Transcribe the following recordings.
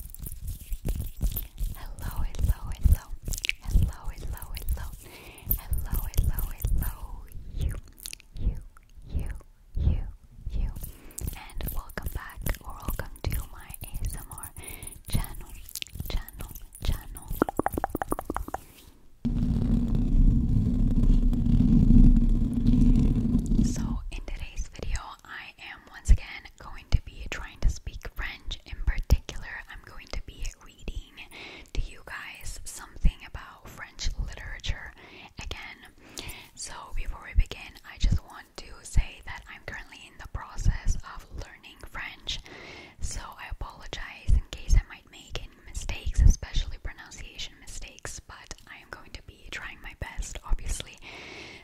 Hello, hello, hello, hello, hello, hello, hello, you, you, you, you, you, and welcome back or welcome to my ASMR channel, channel, channel. So, in today's video, I am once again going to be trying to speak French. In particular, I'm going to be reading to you guys something about French literature again. So, before we begin, I just want to say that I'm currently in the process of learning French. So, I apologize in case I might make any mistakes, especially pronunciation mistakes, but I am going to be trying my best, obviously.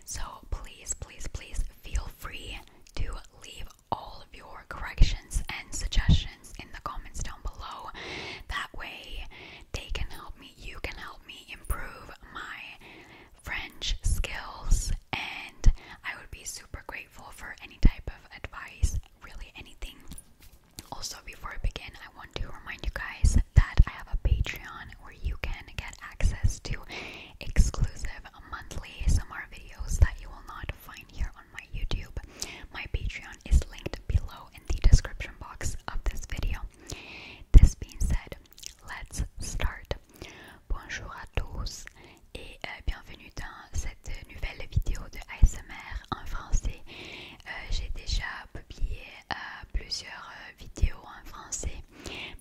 So please, please, please feel free to leave all of your corrections and suggestions in the comments down below. That way, they can help me, you can help me improve my French skills, and I would be super grateful for any type of advice, really anything. Also, before I begin, I want to remind you guys that I have a Patreon where you can get access to exclusive monthly ASMR videos that you will not find here on my YouTube. My Patreon is linked below in the description box of this video. This being said, let's start. Bonjour à tous et euh, bienvenue dans cette nouvelle vidéo de ASMR en français. Euh, j'ai déjà publié euh, plusieurs vidéo en français.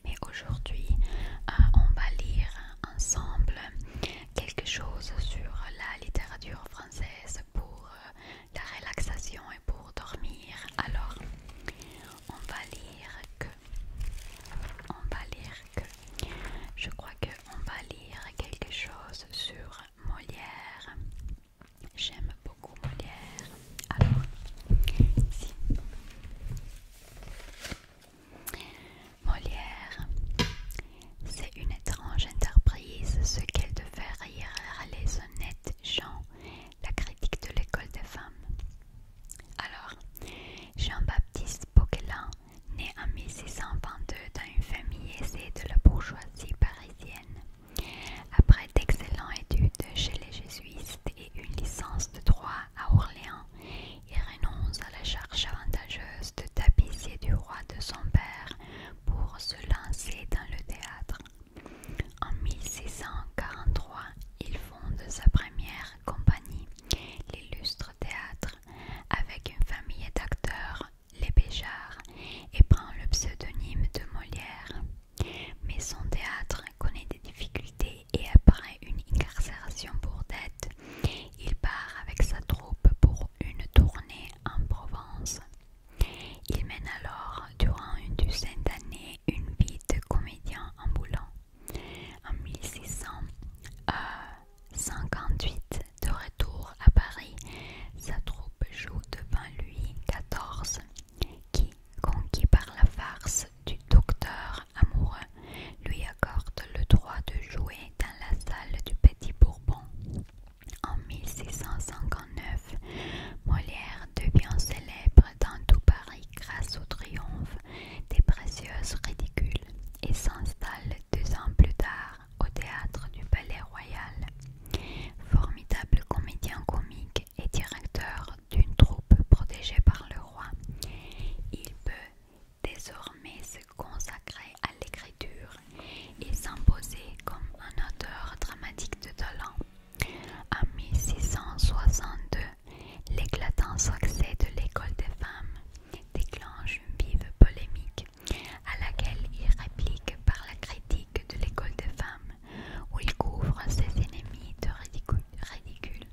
Mais aujourd'hui, euh, on va lire ensemble quelque chose sur la littérature française pour euh, la relaxation et pour dormir. Alors, on va lire que... On va lire que... Je crois que on va lire quelque chose sur Molière. J'aime beaucoup Molière. Alors, si Molière, c'est une étrange entreprise ce qu'elle devait faire rire les honnêtes gens, la critique de l'école des femmes. Alors, Jean-Baptiste Poquelin, né en 1622 dans une famille aisée de la bourgeoisie parisienne, après d'excellentes études chez les jésuites et une licence de droit à Orléans, il renonce à la charge avantageuse de tapissier du roi de son père pour se lancer dans le théâtre. En 1643, il fonde sa première compagnie, l'illustre théâtre, avec une famille d'acteurs, les Béjart, et prend le pseudonyme de Molière. Mais son théâtre connaît des difficultés et après une incarcération pour dette, il part avec sa troupe pour une tournée en Provence. Il mène alors durant une dizaine d'années une vie de comédien ambulant. En 1658, euh, de retour à Paris, sa troupe joue devant lui 14 qui, conquis par la farce du docteur amoureux, lui accorde le droit de jouer dans la salle du Petit Bourbon. En 1659, Molière devient célèbre dans tout Paris grâce au triomphe des précieuses ridicules et s'installe deux ans plus tard au théâtre du Palais Royal. Formidable comédien comique, et directeur d'une troupe protégée par le roi, il peut désormais se consacrer à l'écriture et s'imposer comme un auteur dramatique de talent. En 1662, l'éclatant succès de l'école des femmes déclenche une vive polémique à laquelle il réplique par la critique de l'école des femmes où il couvre ses ennemis de ridicule.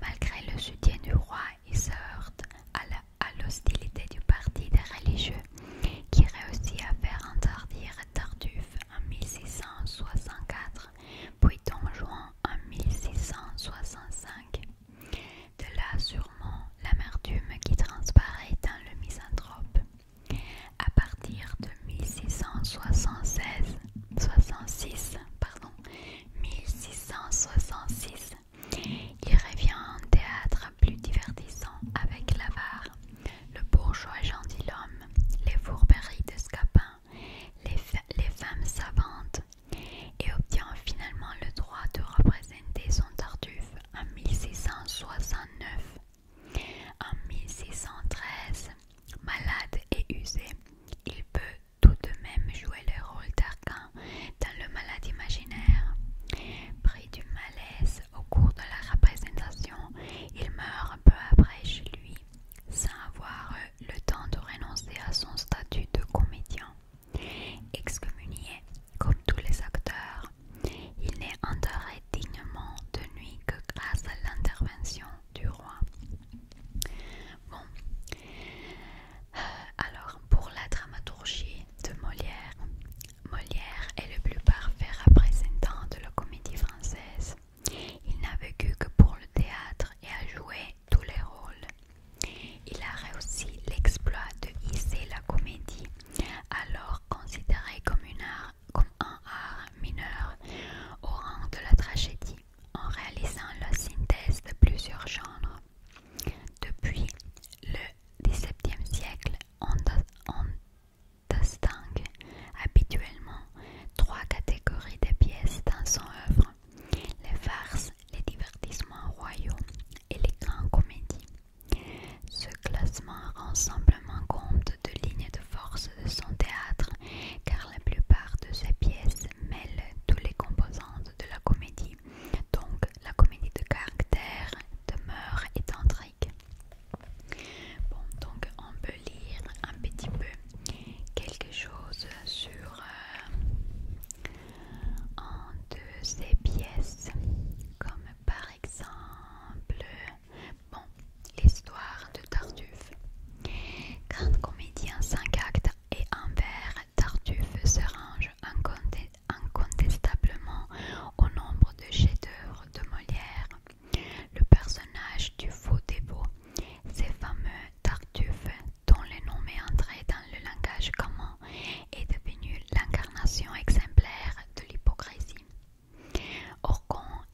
Malgré le soutien du roi, il se heurte à l'hostilité du parti des religieux qui réussit à faire interdire Tartuffe en 1664, puis Don Juan en 1665. De là sûrement l'amertume qui transparaît dans le misanthrope. À partir de 1676, 66, pardon, 1666. Il revient en théâtre plus divertissant avec l'avare, le bourgeois gentilhomme, les fourberies de Scapin, les, femmes savantes, et obtient finalement le droit de représenter son Tartuffe en 1669. En 1613, malade et usé, il peut tout de même jouer le rôle d'arcan dans le malade imaginaire. Pris du malaise au cours de la représentation, il meurt peu après chez lui, sans avoir le temps de renoncer à son statut de comédien. Excommunié, comme tous les acteurs, il n'est enterré dignement de nuit que grâce à l'intervention du roi. Bon, euh, alors pour la dramaturgie de Molière, Molière est le plus parfait représentant de la comédie française. Il n'a vécu que pour le théâtre et a joué tous les rôles. Il a réussi l'exploit de hisser la comédie, alors considérée comme une art comme un art mineur au rang de la tragédie en réalisant la synthèse de plusieurs genres. Depuis le XVIIe siècle, on, distingue habituellement trois catégories de pièces dans son œuvre, les farces, les divertissements royaux et les grandes comédies. Ce classement rend simplement compte de lignes de force de son théâtre car la plupart de ses pièces mêlent tous les composantes de la comédie. Donc la comédie de caractère, de mœurs et d'intrigue. Bon, donc on peut lire un petit peu quelque chose sur euh, un de ses pièces, comme par exemple Bon, l'histoire de Tartuffe. Grand comédien cinq actes et un vers, Tartuffe se range incontestablement au nombre de chefs-d'œuvre de Molière. Le personnage du faux dévot, ces fameux Tartuffe dont le nom est entré dans le langage commun, est devenu l'incarnation exemplaire de l'hypocrisie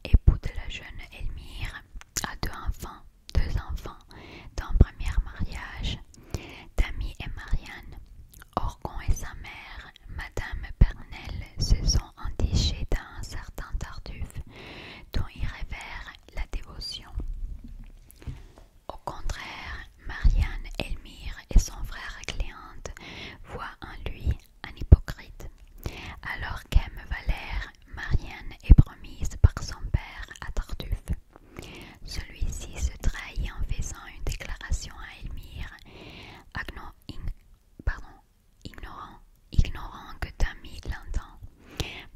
époux de la jeune Elmire, a deux enfants, deux enfants d'un premier mariage, Tammy et Marianne. Orgon et sa mère, Madame pernelle se sont indigés d'un certain Tarduf, dont ils révèrent la dévotion. Au contraire, Marianne, Elmire et son frère Cléante voient en lui un hypocrite, alors qu'Aime Valère, Marianne est promise par son père à Tartuffe. Celui-ci se trahit en faisant une déclaration à Elmire, pardon, ignorant, que Tammy l'entend,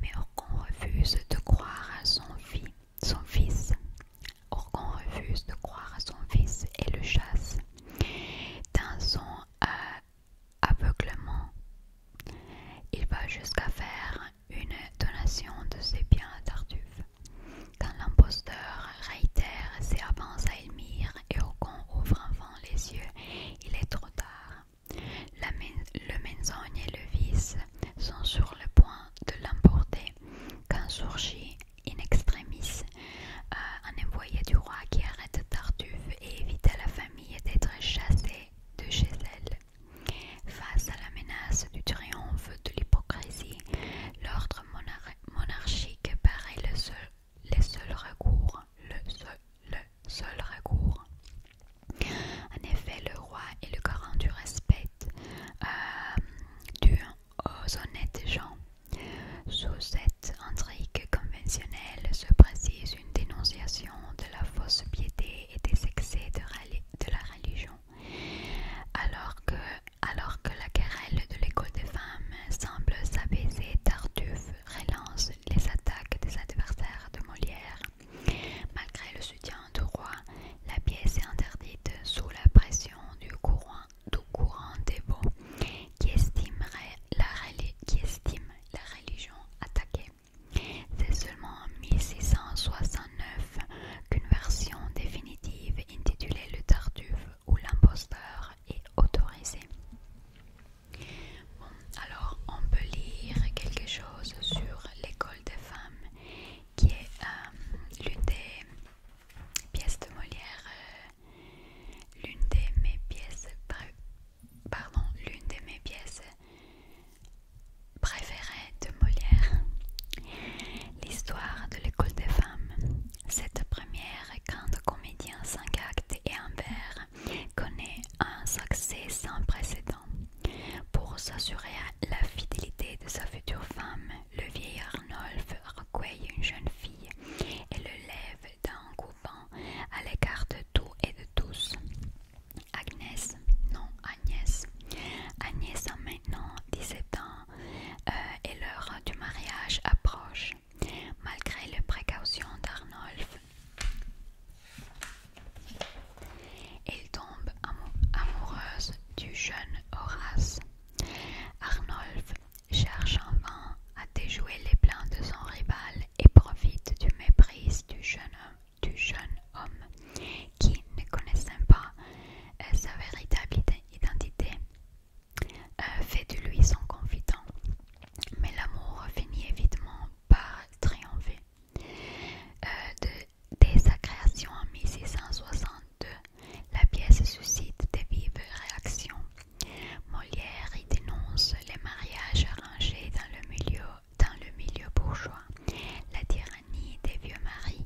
mais Orgon refuse de croire à son, fils son fils. Orgon refuse de croire à son fils et le chasse. Dans son euh, aveuglement. Il va jusqu'à faire une donation de ses biens à Tartuffe. Quand l'imposteur réitère ses avances à Elmire et con ouvre enfin les yeux, il est trop tard. La le menzogne et le vice sont sur le point de l'emporter quand surgit in extremis un euh, envoyé du roi qui arrête Tartuffe et évite la fin d'être chassée de chez elle. Face à la menace du triomphe de l'hypocrisie, l'ordre monarchique paraît le seul, le seul recours. Le seul, le seul recours. En effet, le roi est le garant du respect euh, du dû aux honnêtes gens. Sous cette intrigue conventionnelle se précise dénonciation de la fausse piété et des excès de, la religion, alors que, alors que la querelle de l'école des femmes semble s'abaisser, Tartuffe relance les attaques des adversaires de Molière. Malgré le soutien du roi, la pièce est interdite sous la pression du courant, du courant des qui estime la, qui estime la religion attaquée. C'est seulement en 1669 qu'une version définitive intitulée Le Tartuffe ou l'imposteur est autorisée. Bon, alors on peut lire quelque chose sur l'école des femmes qui est euh, l'une des pièces de Molière, euh, l'une des mes pièces l'une de mes pièces préférées de Molière, l'histoire de l'école des femmes. Cette première grande en cinq actes et un vers connaît un succès sans précédent. Pour s'assurer la fidélité de sa future femme, le vieil Arnolphe recueille une jeune fille et le lève d'un coupant à l'écart de tout et de tous. Agnès, non Agnès. Agnès a maintenant 17 ans euh, et l'heure du mariage approche. Malgré les précautions d'Arnolf, elle tombe amoureuse du jeune Horace. Arnolf cherche en vain a déjoué les plans de son rival et profite du mépris du jeune homme, qui, ne connaissant pas euh, sa véritable identité, euh, fait de lui son confident. Mais l'amour finit évidemment par triompher. Euh, de, dès sa création en 1662, la pièce suscite des vives réactions Molière y dénonce les mariages arrangés dans le milieu, bourgeois, la tyrannie des vieux maris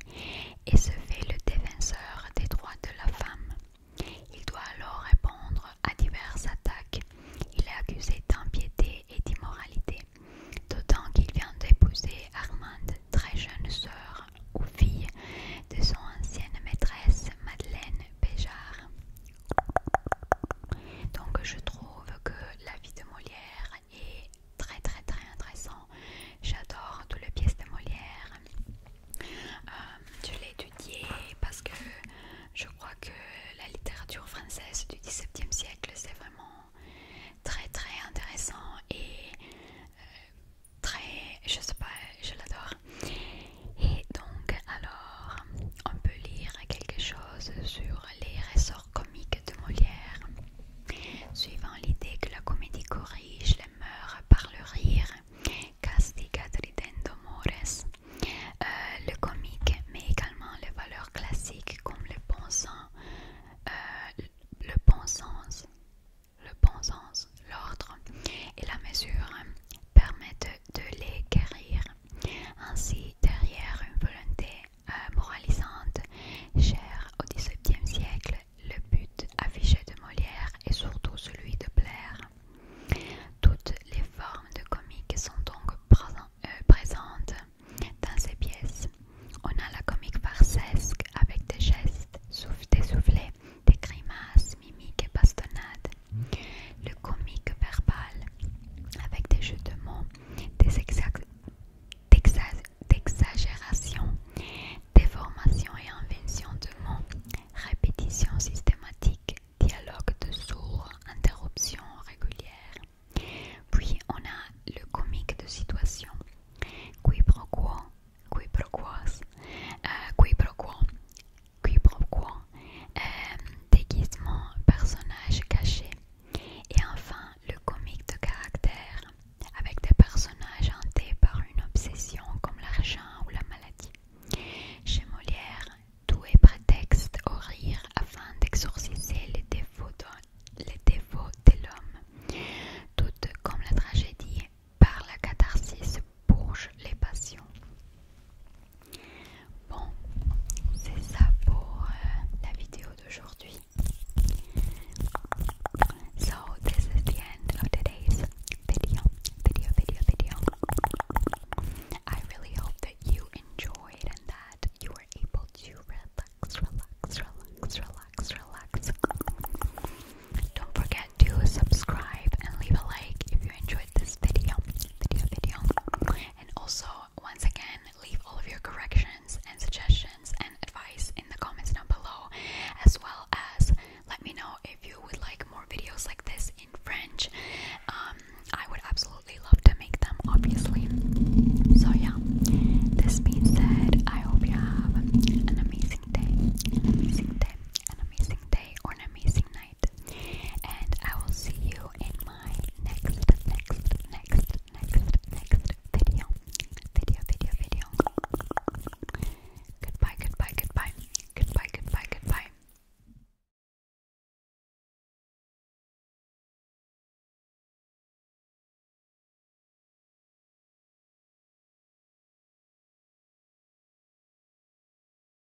et se fait le défenseur des droits de la femme. Il doit alors répondre à diverses attaques. Il est accusé d'impiété et d'immoralité, d'autant qu'il vient d'épouser Armande, très jeune sœur ou fille de son ancienne maîtresse Madeleine Béjart. Donc je trouve que la vie de Molière est très très très intéressant. J'adore toutes les pièces de Molière. Euh, je l'ai étudié parce que je crois que la littérature française du XVIIe siècle c'est vraiment très très intéressant et euh, très je sais pas je l'adore et donc, alors, on peut lire quelque chose sur les ressorts comiques de Molière. Suivant l'idée que la comédie corrige les mœurs par le rire, castiga ridendo mores, euh, le comique, mais également les valeurs classiques comme le bon sens, euh, le bon sens, le bon sens, l'ordre et la mesure permettent de les guérir. Ainsi, derrière une volonté euh, moralisante, chère au XVIIe siècle, le but affiché de Molière est surtout celui de plaire. Toutes les formes de comique sont donc euh, présentes dans ces pièces. On a la comique farcesque avec des gestes, souffles, des des grimaces, mimiques et bastonnades. Le comique verbal, avec des jeux de mots, des exagérations, des et inventions de mots, répétitions systématiques, dialogue de sourds, interruptions régulières. Puis on a le comique de situation, qui pourquoi déguisements, euh, déguisement, personnage caché et enfin le comique de caractère avec des personnages hantés par une obsession comme l'argent ou la maladie. Chez Molière, tout est prétexte au rire afin d'exorciser les défauts de, l'homme. tout comme la tragédie, par la catharsis bouge les passions. Bon, c'est ça pour euh, la vidéo d'aujourd'hui. So this is the end of today's video, video, video, video. I really hope that you enjoyed and that you were able to relax, relax, relax, relax, relax. Don't forget to subscribe and leave a like if you enjoyed this video. And also, once again, leave all of your corrections and suggestions and advice in the comments down below, as well as let me know if you would like more videos like this in French. Um, I would absolutely love to make them, obviously. So, yeah, this means that I hope you have an amazing day, an amazing day, an amazing day, or an amazing and I will see you in my next, next, next, next, next video. Video, video, video. Goodbye, goodbye, goodbye. Goodbye, goodbye, goodbye.